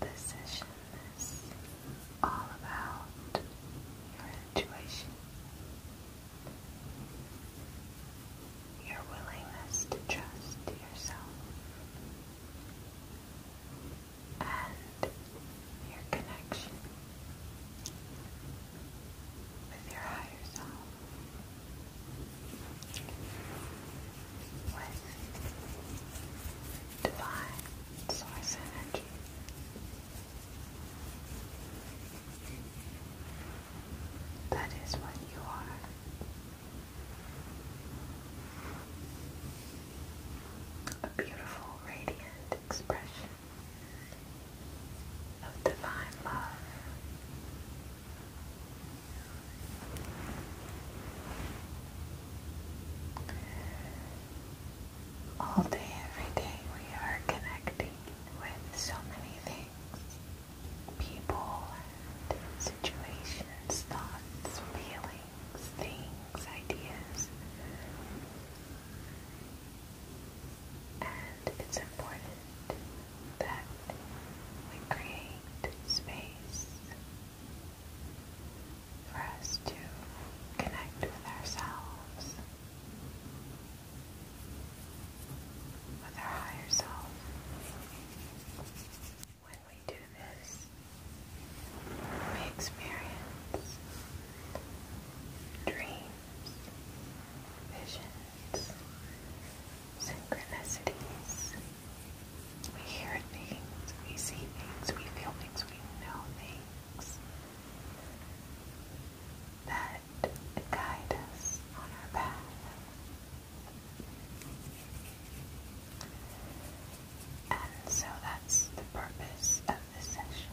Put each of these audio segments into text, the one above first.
This session is all about your intuition, your willingness to trust yourself and your connection with your higher self, with divine source energy. That is what you are a beautiful, radiant expression of divine love. All day, every day, we are connecting with so many things people, and situations, thoughts, feelings things, ideas. And it's important that we create space for us to connect with ourselves, with our higher self we do this, we experience dreams, visions, synchronicities. We hear things, we see things, we feel things, we know things that guide us on our path. And so that's the purpose of the session.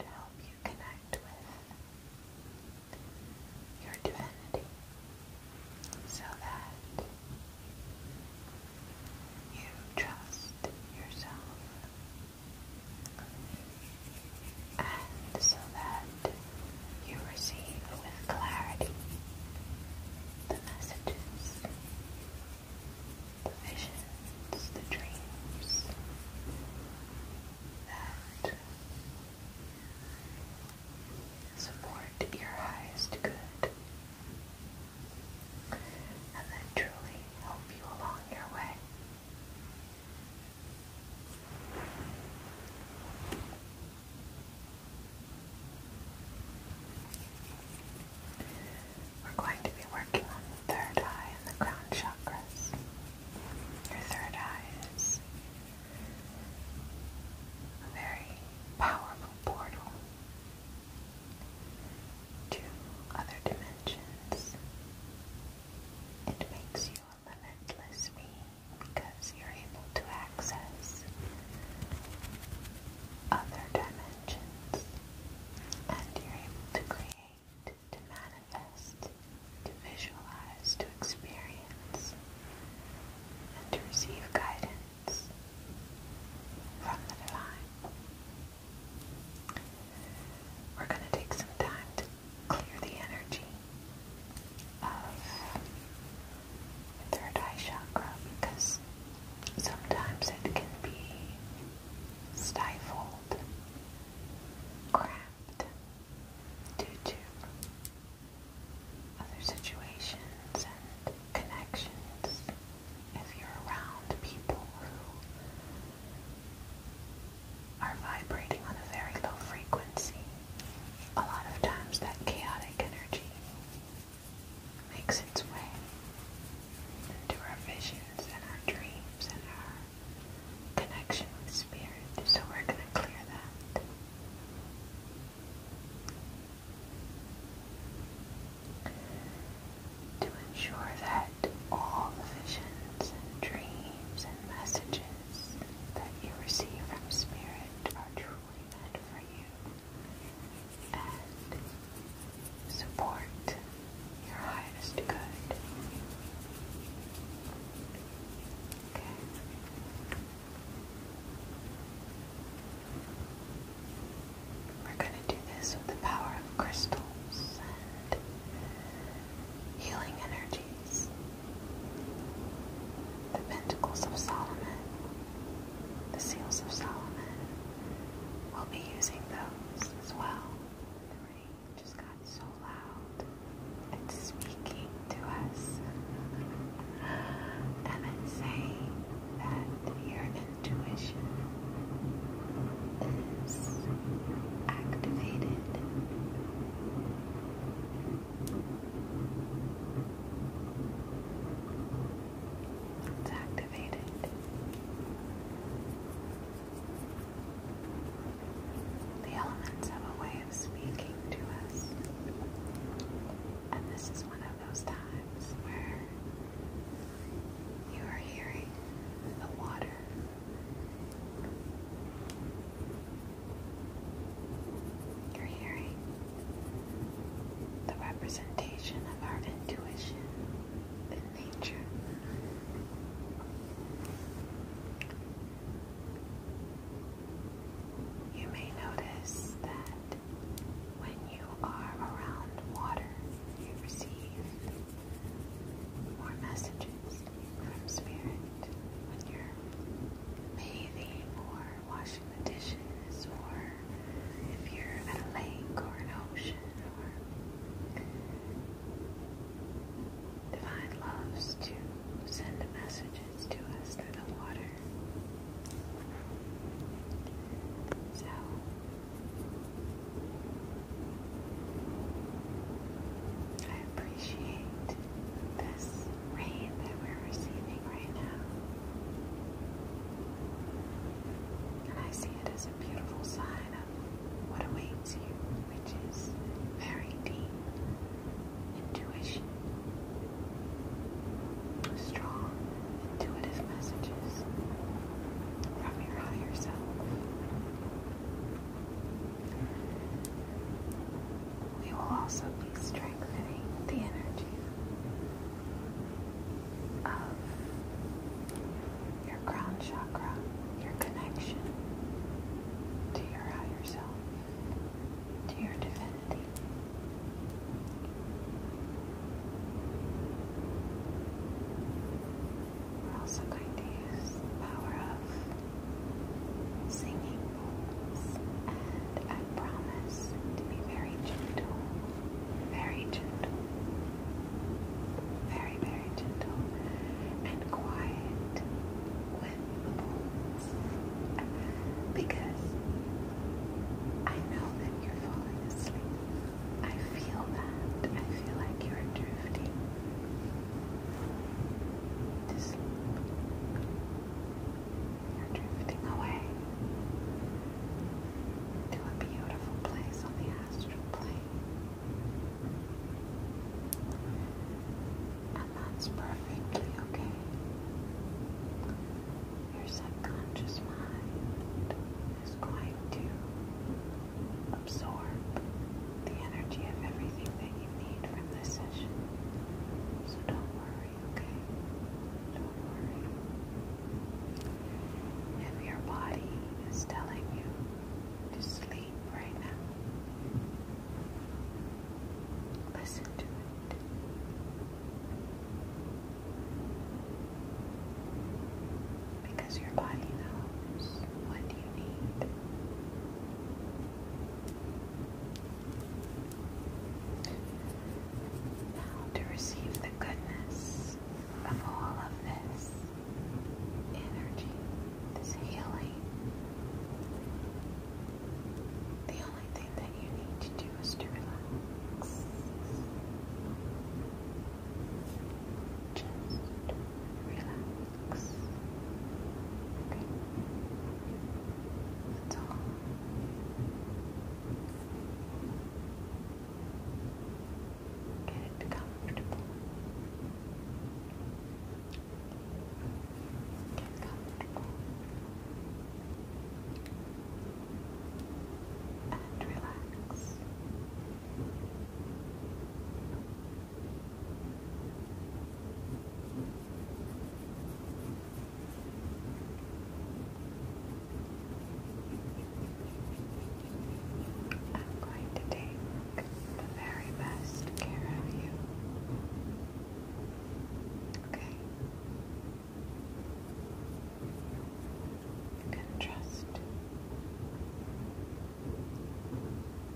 To help you connect with your divinity so that you trust yourself and so that you receive with clarity the messages, the visions, the dreams that support your highest good and then truly help you along your way. We're going to be working on the third eye and the crown chakras. Your third eye is a very powerful portal to other dimensions. It makes you limitless being because you're able to access other dimensions and you're able to create, to manifest, to visualize, to experience, and to receive guidance from the divine. We're going to take some time to clear the energy of the third eye chakra because sometimes it can be stifled, cramped due to other situations and connections. If you're around people who are vibrating on a very low frequency, a lot of times that chaotic energy makes its way into our visions and our dreams and our connection with spirit. So we're going to clear that. To ensure that all the visions dreams and messages that you receive from Spirit are truly meant for you and support your highest good. Okay. We're going to do this with the power of crystals and healing energies the Pentacles of Solomon, the Seals of Solomon. We'll be using those as well. The rain just got so loud. It's speaking to us. and it's saying that your intuition is activated. It's activated. The elements have a way of speaking to us. And this is one of those times where you are hearing the water you're hearing the representation of our intuition in nature. You may notice that when you are around water, you receive more messages from spirit. When you're bathing or washing the dishes, or if you're at a lake or an ocean, or divine loves to send messages to us through the water. So. I appreciate this rain that we're receiving right now. And I see it as a beautiful sign of what awaits you, which is very deep intuition, strong intuitive messages from your higher self we will also be strengthening the energy of your crown chakra, your connection to your higher self, to your divinity. We're also going to use the power of singing and I promise to be very gentle, very gentle, very, very gentle and quiet with the pulse because I know that you're falling asleep. I feel that. I feel like you're drifting to sleep. You're drifting away to a beautiful place on the astral plane. And that's perfectly okay. Your subconscious mind is going to absorb the energy of everything that need from this session. So don't worry, okay? Don't worry. your body is telling you to sleep right now, listen to it. Because your body knows what you need to receive the goodness of all of this energy, this healing, the only thing that you need to do is to relax. Just relax. Okay. That's all. Get comfortable. Get comfortable. And Relax. I'm going to take the very best care of you. Okay? You can trust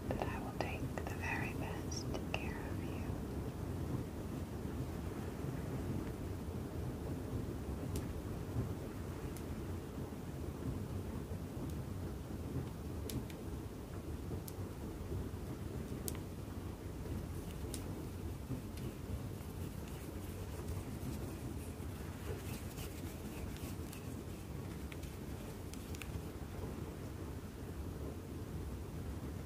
that I will take the very best care of you.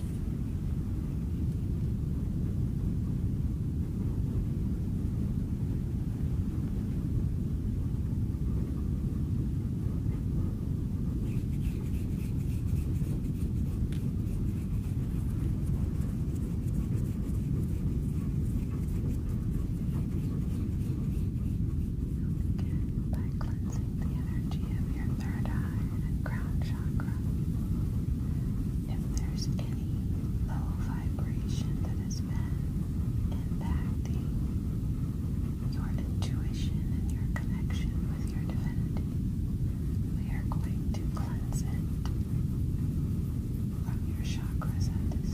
by cleansing the energy of your third eye and crown chakra if there's any low vibration that has been impacting your intuition and your connection with your divinity, we are going to cleanse it from your chakras at this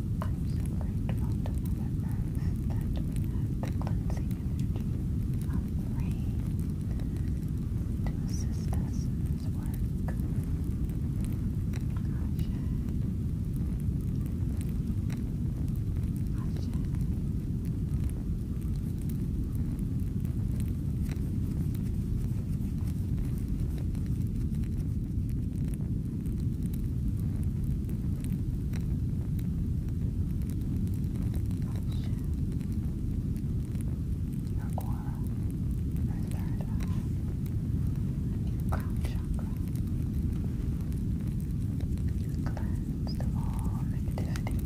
I'm so grateful to Mother Earth that have the cleansing of the to assist us in this work. Ashe. Ashe your aura, your third eye, your crown chakra. Cleansed of all negativity,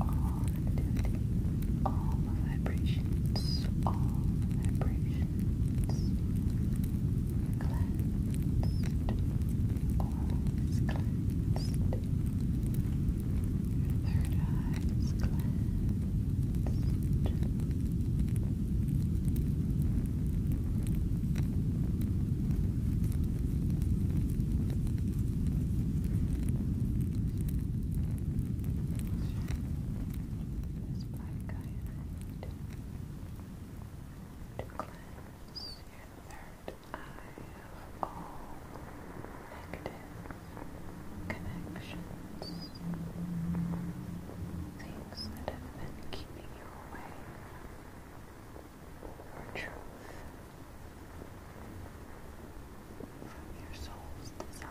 all negativity, all vibrations, all vibrations cleansed, coral is cleansed, third eye is cleansed. This black guy to cleanse your third eye of all negative connections, things that have been keeping you away from truth, from your soul's desire.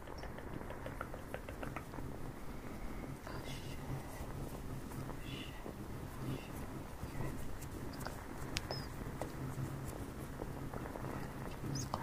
cleansed of all the vibrations. Gosh. Gosh. Gosh.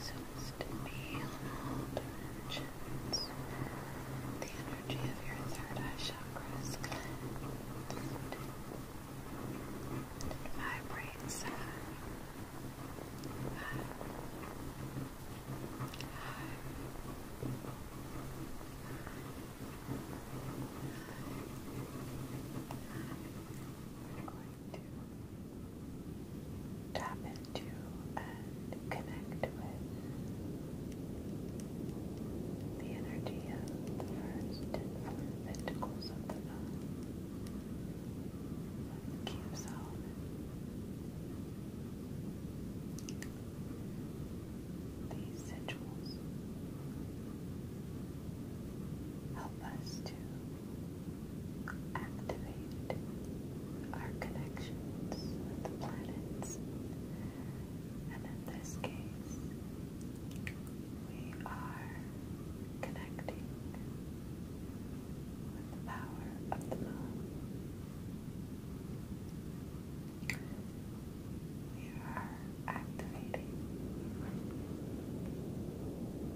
seems to be on all dimensions. The energy of your third eye chakra is cleansed. It vibrates I'm going to tap into and connect with the energy of the first and four pentacles of the moon. Keep these rituals help us to activate our connections with the planets, and in this case, we are connecting with the power of the moon. We are activating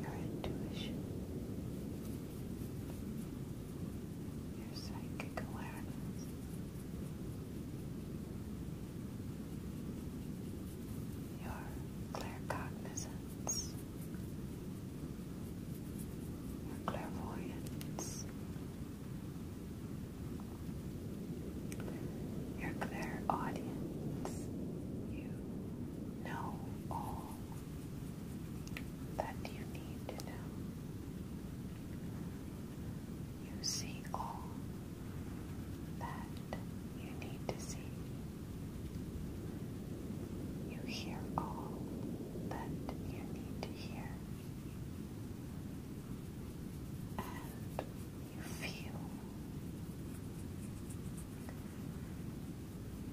your intuition, your psychic awareness. Your claircognizance, your clairvoyance, your clear audience, you know all that you need to know. You see all that you need to see. You hear all that you need to hear and you feel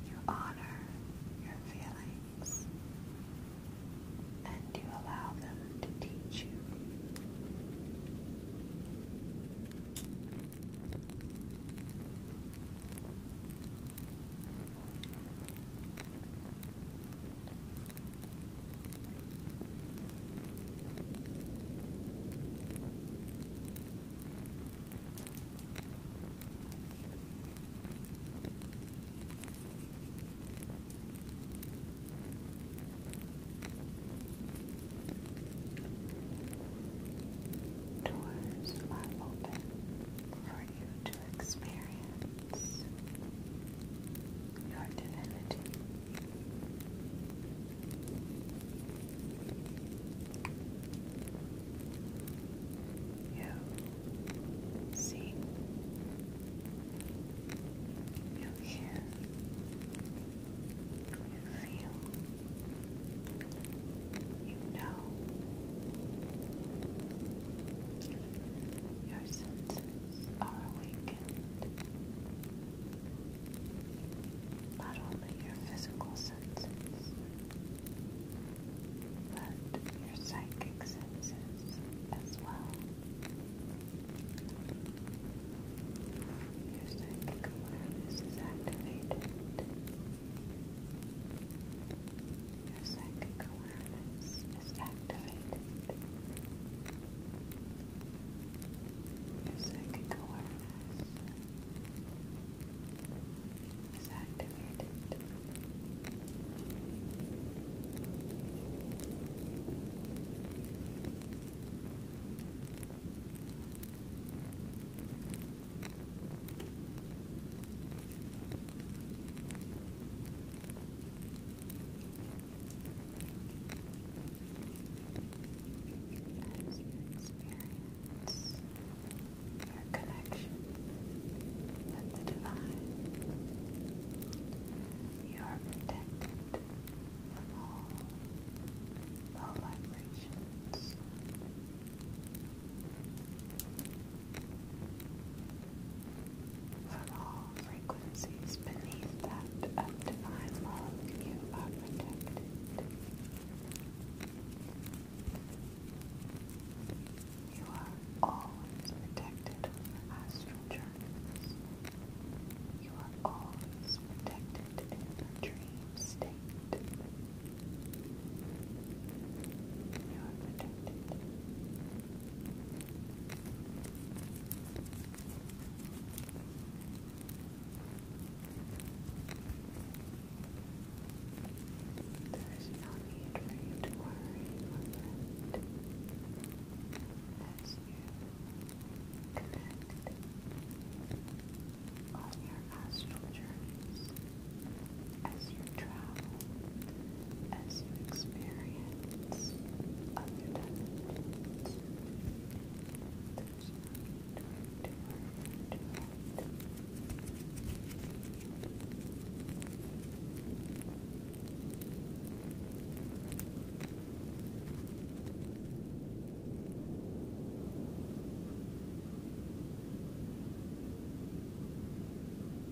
you honor your feelings and you allow them to teach you. Doors are open for you to experience your divinity. You see, you hear, you feel, you know your senses are awakened. Not only your physical senses, but your psychic senses as well. Your psychic awareness is activated. Your psychic awareness is activated. Your psychic awareness is activated. As you experience your connection with the divine, you are protected from all vibrations. For all frequencies beneath that of divine love, you are protected. You are always protected from You are always protected in the dream state. You are protected. There's no need you to worry about as you connect on your astral journeys, as you travel as you experience other dimensions. There's no need to worry too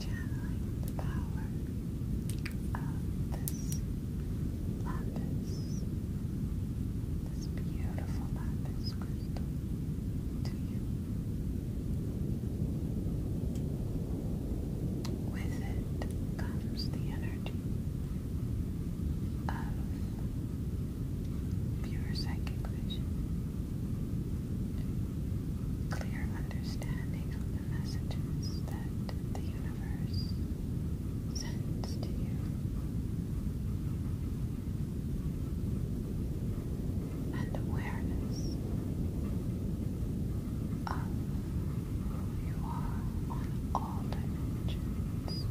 Channeling the power of this lapis, this beautiful lapis crystal to you. With it comes the energy of pure psychic vision, clear understanding of the messages that the universe sends to you, and awareness of who you are on all dimensions.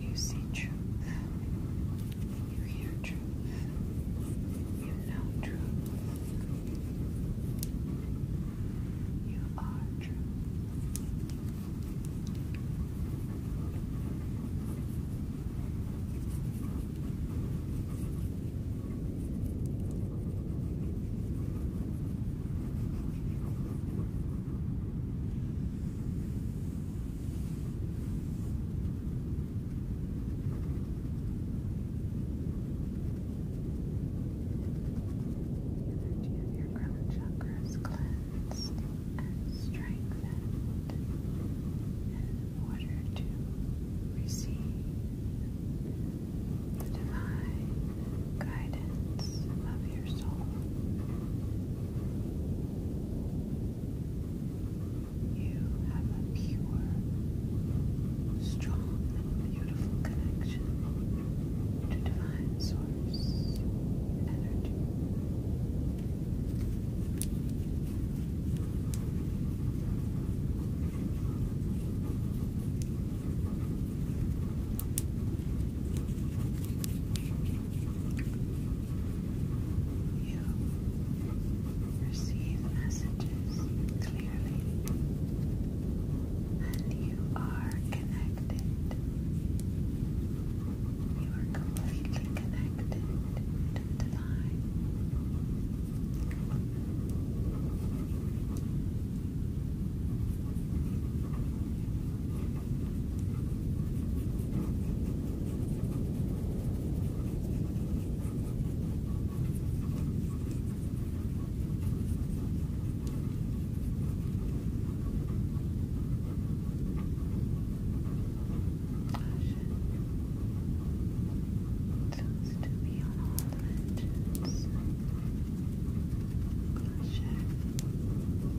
You see truth you hear truth. You know truth. You are truth energy of your crown chakra is cleansed and strengthened in order to receive the divine guidance of your soul. You have a pure, strong, and beautiful connection to divine source energy. You you receive messages clearly, and you are connected. You are completely connected to divine. You Seems to be on all dimensions. Caution.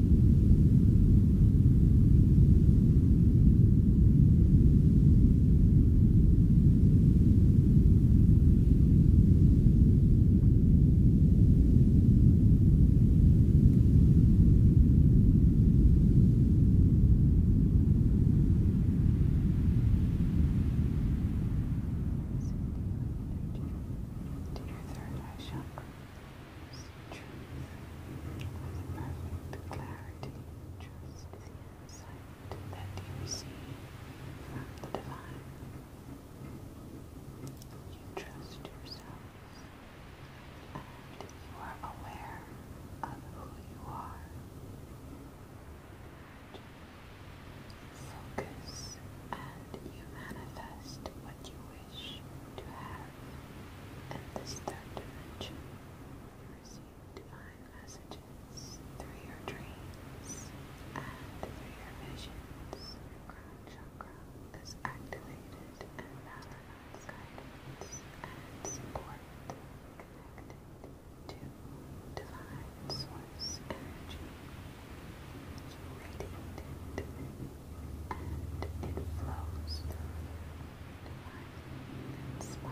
To your third eye chakra truth, perfect clarity, trust the insight that you receive from the divine. You trust yourself and you are aware of who you are. Focus and you manifest what you wish to have and this third dimension. receive divine messages through your dreams and through your visions. Your crown chakra is activated and balance guidance and support connected to divine source energy radiated and it flows inspired.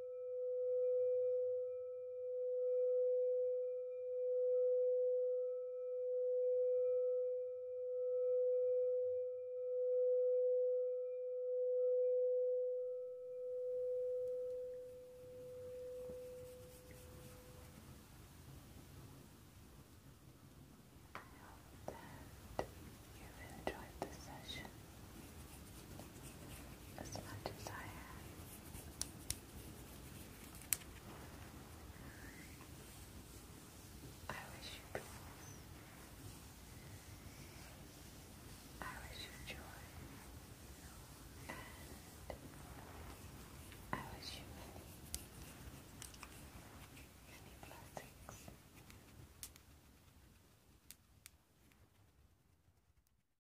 that you've enjoyed this session as much as I have. I wish you peace. I wish you joy. And I wish you many, many blessings.